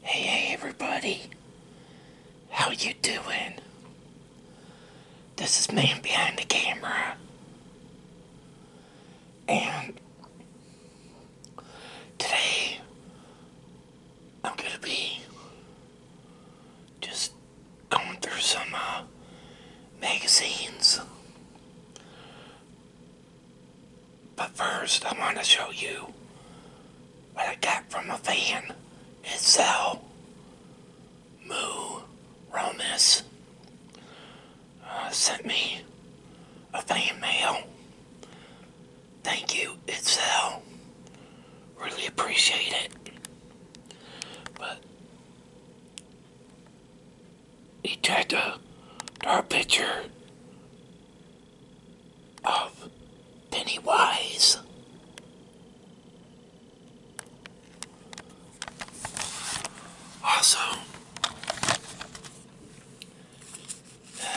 Hey, everybody. How you doing? This is man behind the camera. And today I'm going to be just going through some uh, magazines but first, I want to show you what I got from a fan. It's Moo Romus uh, sent me a fan mail. Thank you, it's Really appreciate it. But he tagged a, picture of Pennywise. Also,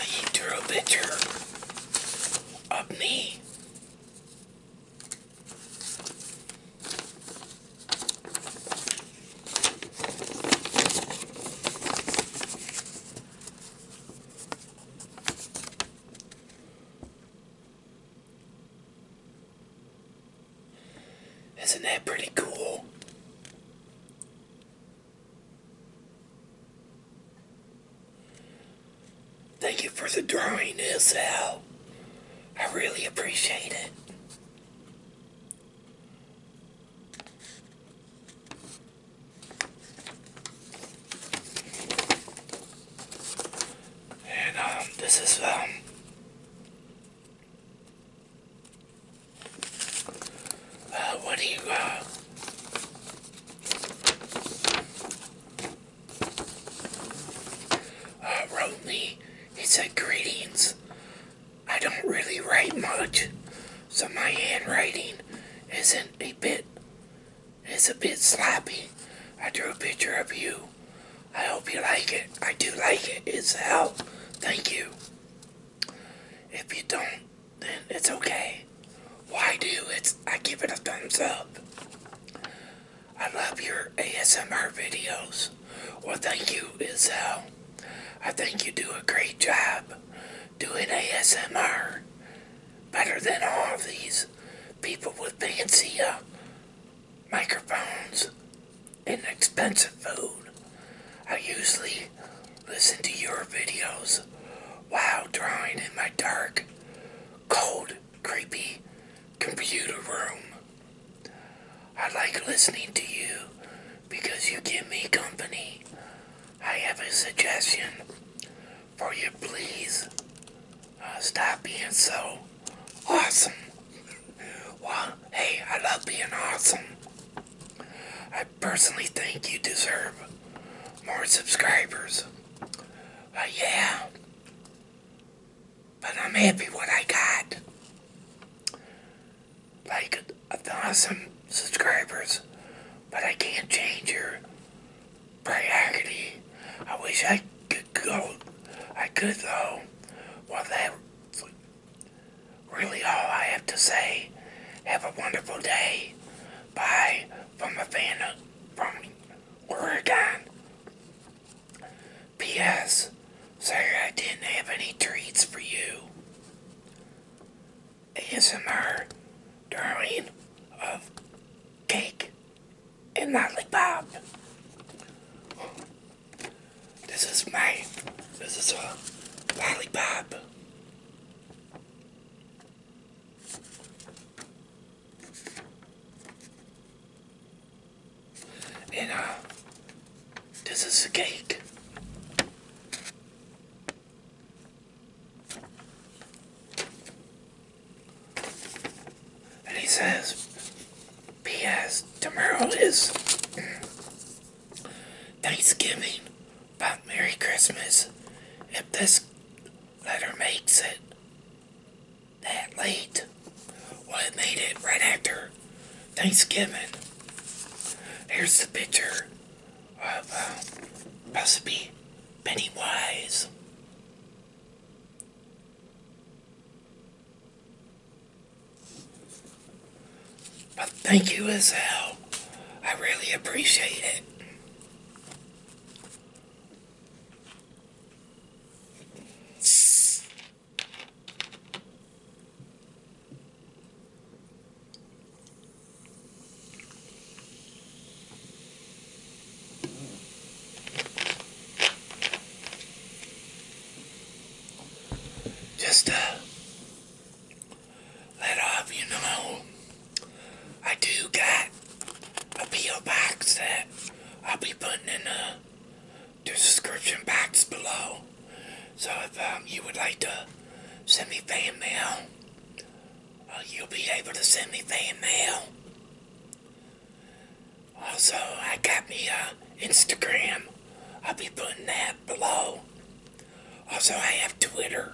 he uh, drew a picture of me. Isn't that pretty cool? Thank you for the drawing, Isel. I really appreciate it. And um, this is um, uh, wrote uh, uh, me? He said, "Greetings. I don't really write much, so my handwriting isn't a bit it's a bit sloppy. I drew a picture of you. I hope you like it. I do like it. It's hell. Thank you. If you don't, then it's okay. Why do? It's I give it a thumbs up. I love your ASMR videos. Well, thank you, It's Isel. I think you do a great job doing ASMR better than all of these people with fancy uh, microphones and expensive food. I usually listen to your videos while drawing in my dark, cold, creepy computer room. I like listening to you because you give me company. I have a suggestion for you. Please uh, stop being so awesome. Well, hey, I love being awesome. I personally think you deserve more subscribers. Uh, yeah. But I'm happy what I got like a thousand subscribers, but I can't change your priority. I wish I could go. I could though. Well, that's really all I have to say. Have a wonderful day. Bye from a fan from Oregon. P.S. Sorry I didn't have any treats for you. ASMR drawing of Cake and Motley Bob. This is my, this is a lollipop. And uh, this is a cake. And he says, P.S. Tomorrow is Thanksgiving, but Merry Christmas. If this letter makes it that late, well, it made it right after Thanksgiving. Here's the picture of uh, possibly Pennywise. But thank you as hell. I really appreciate it. Just uh, let off, you know, I do got a P.O. box that I'll be putting in the description box below. So if um, you would like to send me fan mail, uh, you'll be able to send me fan mail. Also, I got me a uh, Instagram. I'll be putting that below. Also, I have Twitter.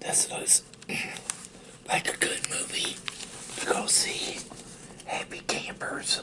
This looks like a good movie to go see. Happy campers.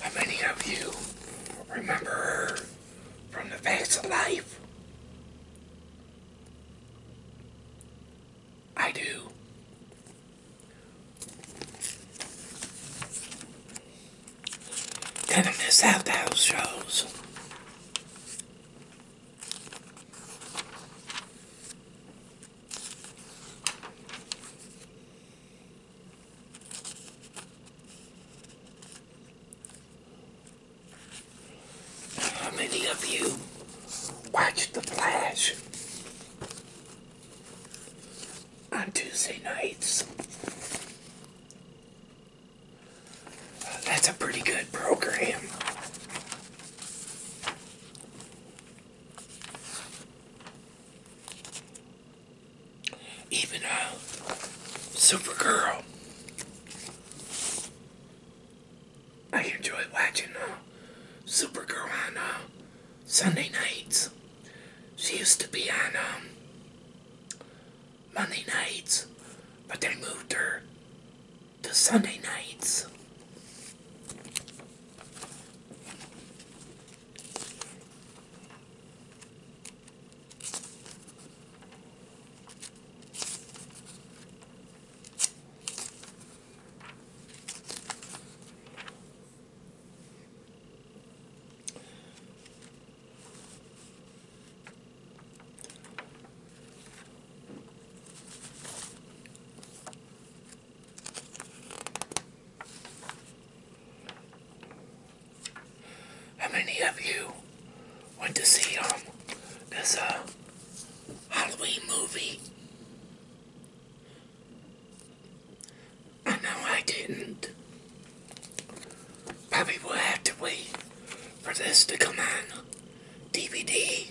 How many of you remember her from the facts of life? I do. Kind of miss out the house shows. How many of you watched The Flash? on Tuesday nights. that's a pretty good program. Even though Supergirl. I enjoy watching uh, Supergirl on uh, Sunday nights. She used to be on um, Monday nights, but they moved her to Sunday nights. How many of you went to see um this uh Halloween movie? I know I didn't. Probably will have to wait for this to come on DVD.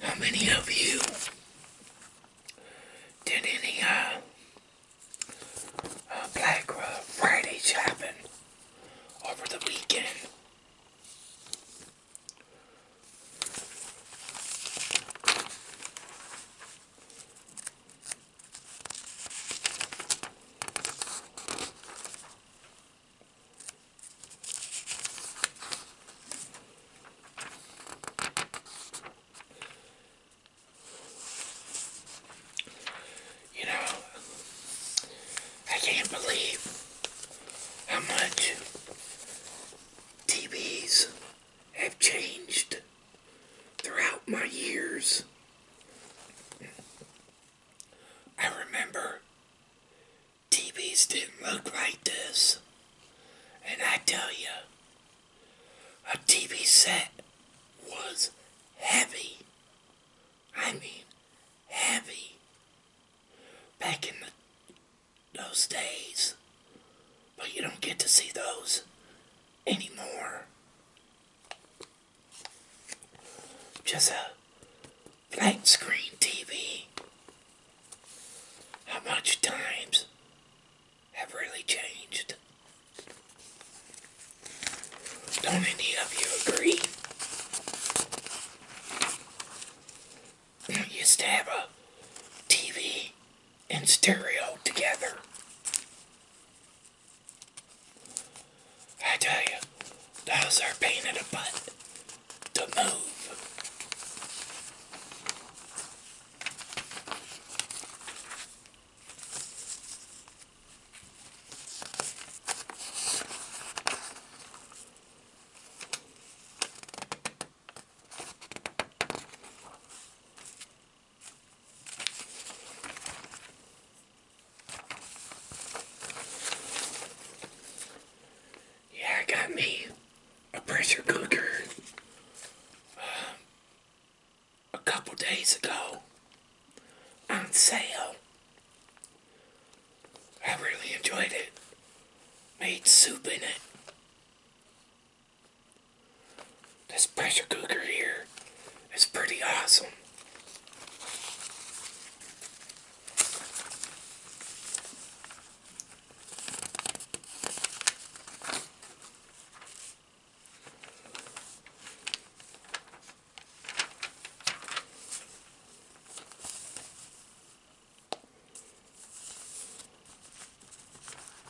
How many of you did any uh, uh Black Friday shopping over the weekend? You know, I can't believe how much TVs have changed throughout my years. I remember TVs didn't look like this. And I tell you, a TV set was heavy. I mean, heavy. Back in those days. But you don't get to see those anymore. Just a flat screen TV. How much times have really changed? Don't any of you agree? We used to have a TV and stereo together. I tell you, those are pain in the butt to move. Yeah, I got me a pressure cooker a couple days ago on sale. I really enjoyed it. Made soup in it. This pressure cooker here is pretty awesome.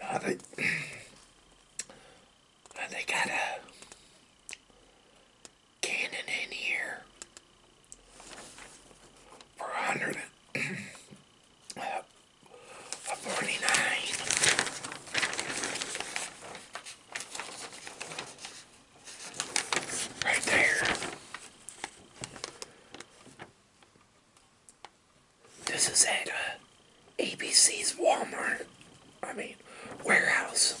Now they, got a cannon in here for 100 uh, Right there. This is at uh, ABC's Walmart. I mean, warehouse.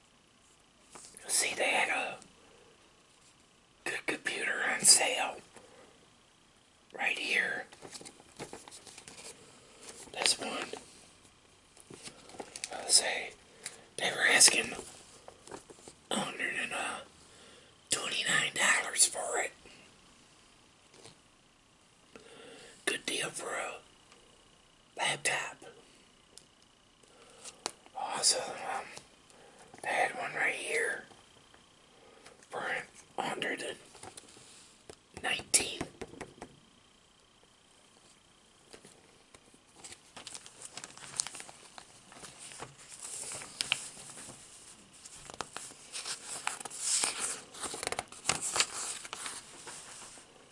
See, they had a good computer on sale right here. This one. I'll say they were asking $129 uh, for it. Good deal bro laptop. Also, um, had one right here for 119.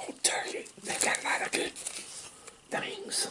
Oh, Turkey, they've got a lot of good things.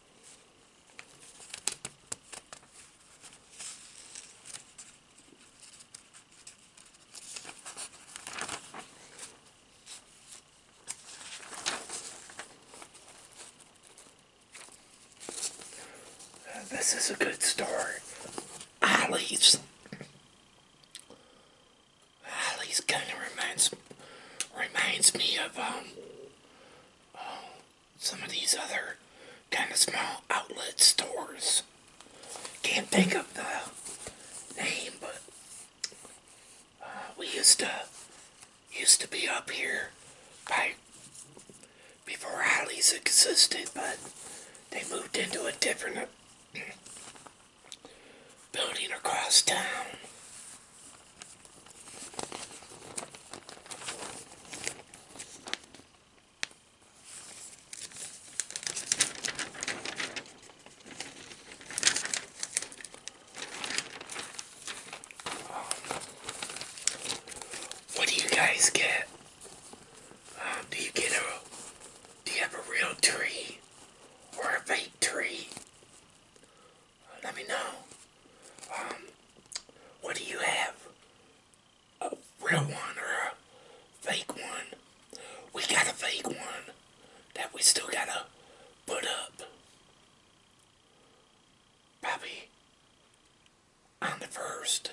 This is a good story. Ollie's. Ollie's kind of reminds reminds me of um some of these other kind of small outlet stores. Can't think of the name, but uh, we used to used to be up here by before Hollies existed, but they moved into a different uh, building across town. What do you guys get? Um, do you get a, do you have a real tree or a fake tree? let me know. Um, what do you have? A real one or a fake one? We got a fake one that we still gotta put up. Probably on the first.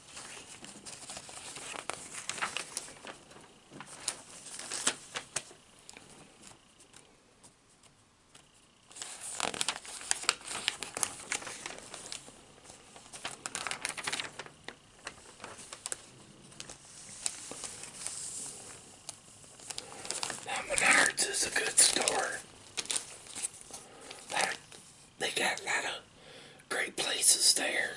Now Menards is a good store. They got a lot of great places there.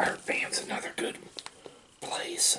Our band's another good place.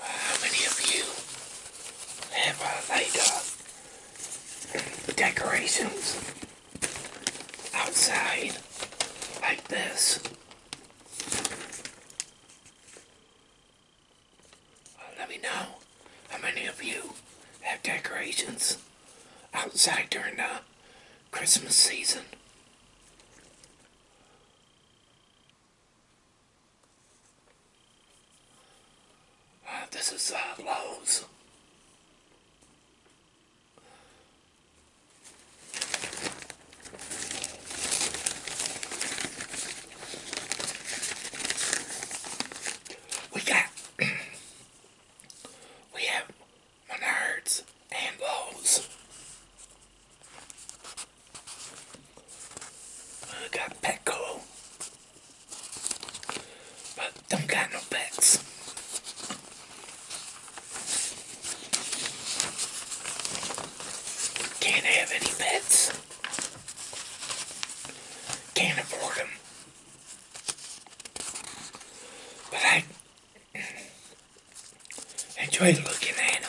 How many of you have uh, uh decorations outside like this? Uh, let me know how many of you have decorations outside during the Christmas season. This is uh, Lowe's. We got, we have Menards and Lowe's. I got Petco, but don't got no pets. Can't have any pets. Can't afford them. But I Enjoy looking at them.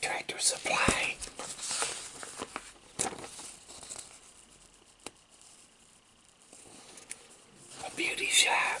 Tractor Supply. A beauty shop.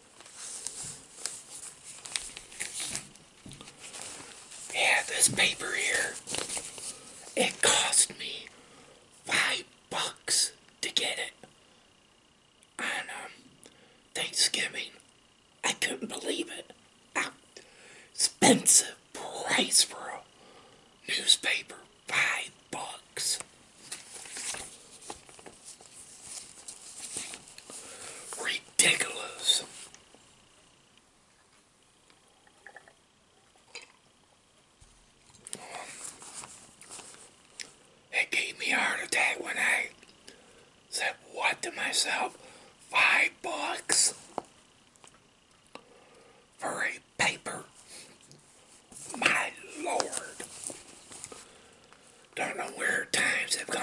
Yeah, this paper here, it cost me five bucks to get it on um, Thanksgiving. I couldn't believe it. expensive price for a newspaper. Five bucks. Ridiculous. It gave me a heart attack when I said, what to myself? Five bucks for a paper? My lord. Don't know where times have gone.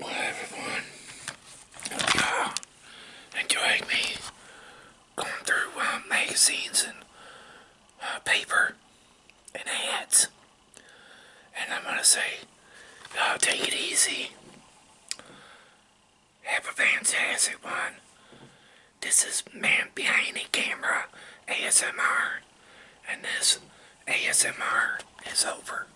Well, everyone, hope uh, me going through uh, magazines and uh, paper and ads. And I'm going to say, take it easy. Have a fantastic one. This is Man Behind the Camera ASMR. And this ASMR is over.